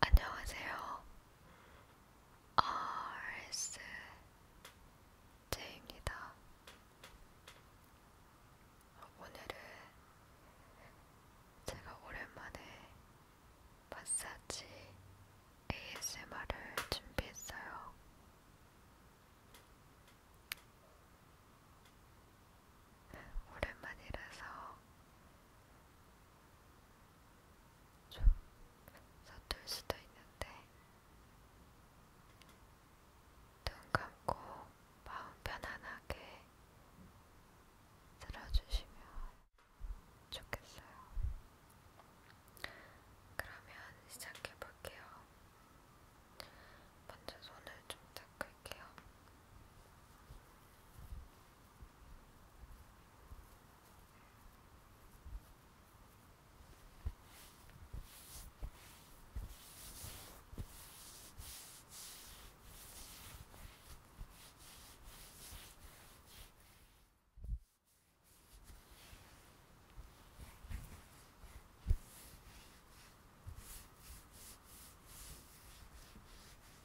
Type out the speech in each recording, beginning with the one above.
안녕하세요. RSJ입니다. 오늘은 제가 오랜만에 마사지 ASMR을 준비했어요. 오랜만이라서 좀 서툴 수도 있는데 눈 감고 마음 편안하게 들어주시면 좋겠어요. 그러면 시작해볼게요. 먼저 손을 좀더 닦을게요. 이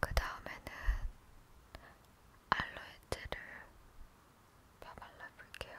그 다음에는 알로에젤을 다 발라볼게요.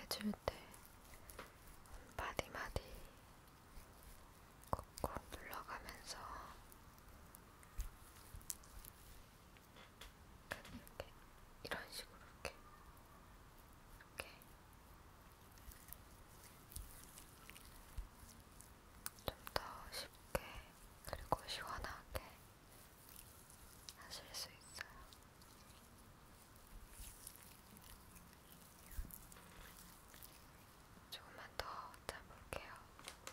해줄 때 마디마디 꾹꾹 눌러가면서 이렇게 이런 식으로 이렇게 이렇게 좀 더 쉽게 그리고 시원하게 하실 수 있어요. 조금만 더 짜볼게요. 이렇게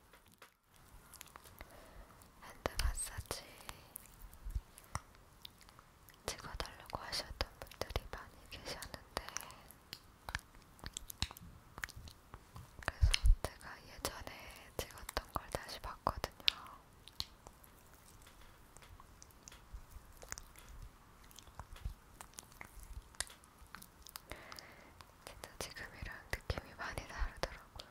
핸드 마사지 찍어달라고 하셨던 분들이 많이 계셨는데, 그래서 제가 예전에 찍었던 걸 다시 봤거든요. 진짜 지금이랑 느낌이 많이 다르더라고요.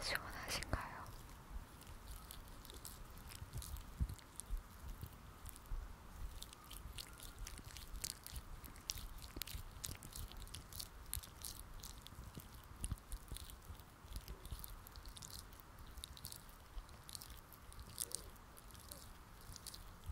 시원하신가요?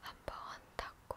한번 닦고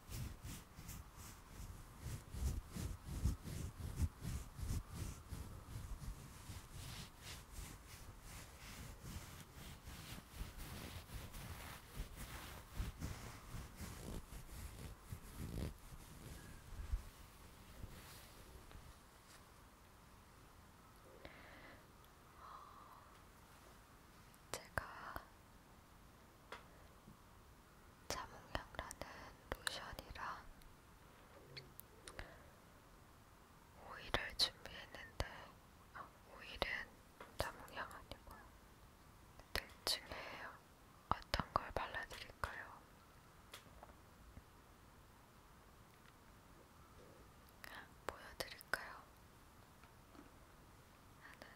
제가 자몽향라는 로션이랑 오일을 준비했는데 아, 오일은 자몽향 아니고요. 네, 둘 중에 어떤 걸 발라드릴까요? 보여드릴까요? 하나는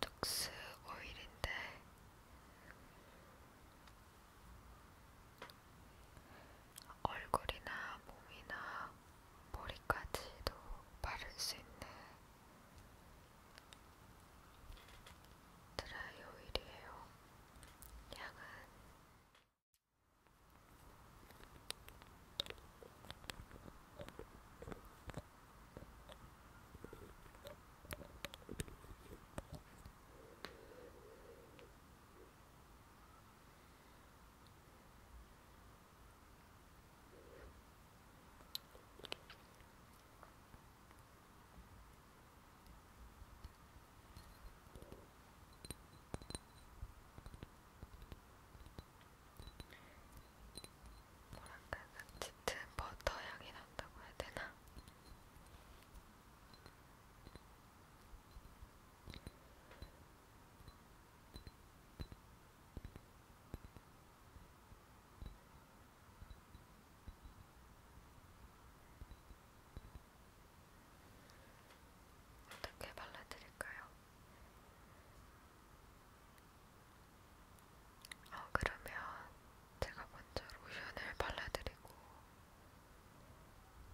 톡스 오일인데 얼굴이나 몸이나 머리까지도 바를 수 있는 드라이 오일이에요. 향은 뭐랄까 그 짙은 버터 향이 난다고 해야 되나? 어떻게 발라드릴까요? 어, 그러면 제가 먼저 로션을 발라드리고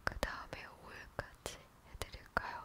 그 다음에 5일까지 해드릴까요?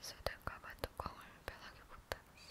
있어될까봐 뚜껑을 편하게 못 닫았어요.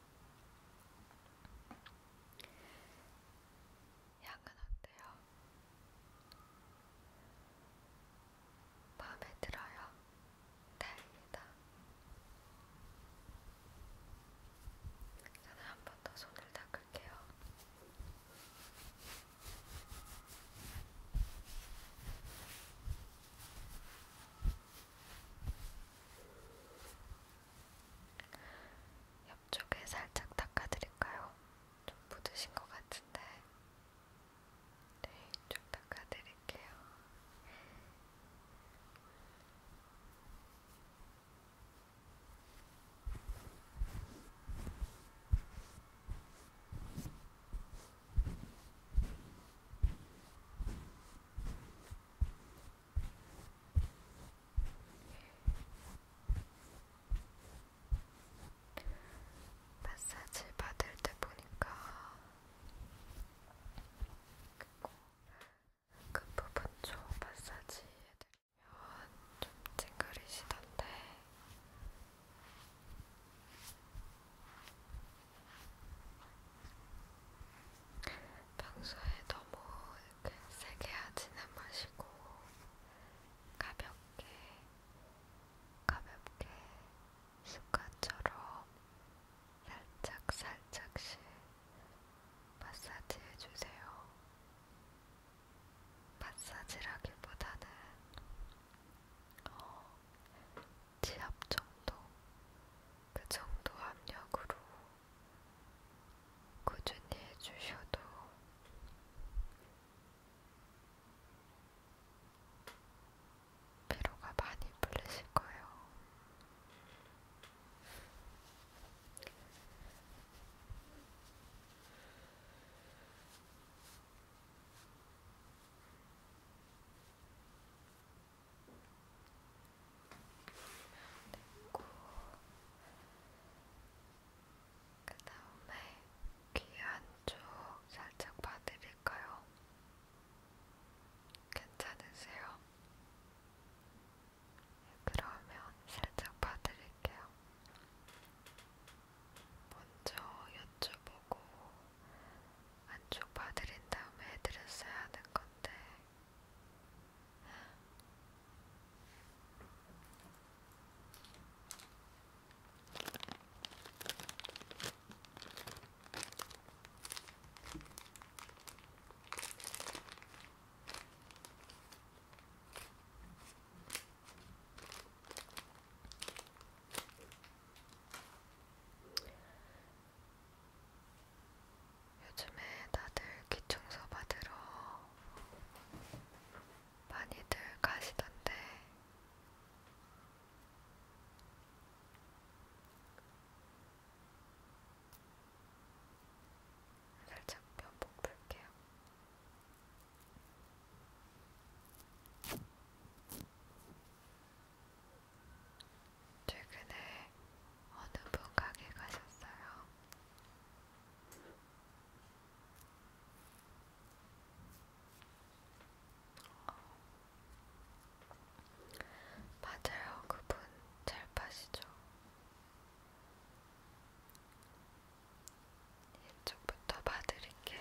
향은 어때요? 마음에 들어요? 다행이다. 네, 저는 한 번 더 손을 닦을게요. 네, 옆쪽에 살짝 닦아드릴까요? 좀 묻으신 것 같은데 네, 이쪽 닦아드릴게요. 네, 마사지 받을 때 보니까 그리고 그, 그 부분 쪽 마사지 해드리면 좀 찡그리시던데 평소에 너무 이렇게 세게 하지는 마시고 가볍게 가볍게 습관처럼 살짝 살짝씩 마사지 해주세요. 마사지라기보다는 어, 지압 정도, 그 정도 압력으로 꾸준히 해주셔도 피로가 많이 풀리실 거예요. 됐고 그 다음에 귀 안쪽 살짝 봐드릴까요? 괜찮으세요? 네, 그러면 살짝 봐드릴게요. 먼저 여쭤보고 안쪽 봐드린 다음에 해드렸어야 하는 건데 요즘에 다들 귀청소 받으러 많이들 가시던데 살짝 면봉 풀게요. 최근에 어느 분 가게 가셨어요? 맞아요, 그 분 잘 파시죠. 이쪽부터 봐드릴게요.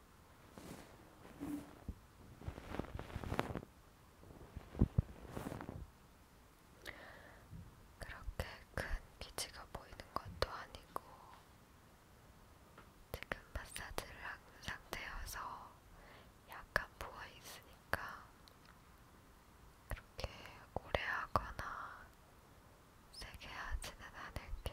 그렇게 큰 기지가 보이는 것도 아니고 지금 마사지를 한 상태여서 약간 부어 있으니까 그렇게 오래 하거나 세게 하지는 않을게요.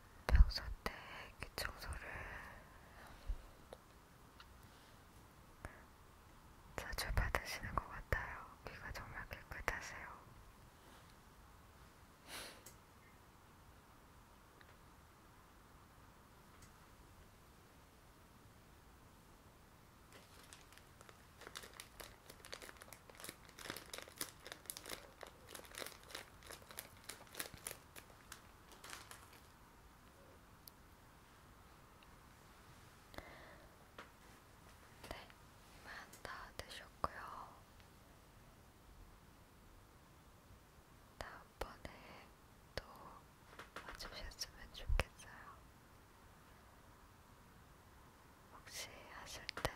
평소 때 귀청소를 자주 받으시는 것 같아요. 귀가 정말 깨끗하세요. 네, 만다 드셨고요. 다음번에 또 와주셨으면 좋겠어요. 혹시 하실 때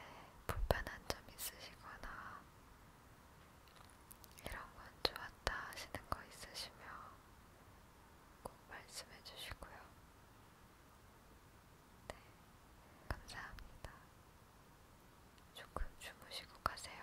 불편한 점 있으시거나 이런 건 좋았다 하시는 거 있으시면 꼭 말씀해 주시고요. 네, 감사합니다. 조금 주무시고 가세요.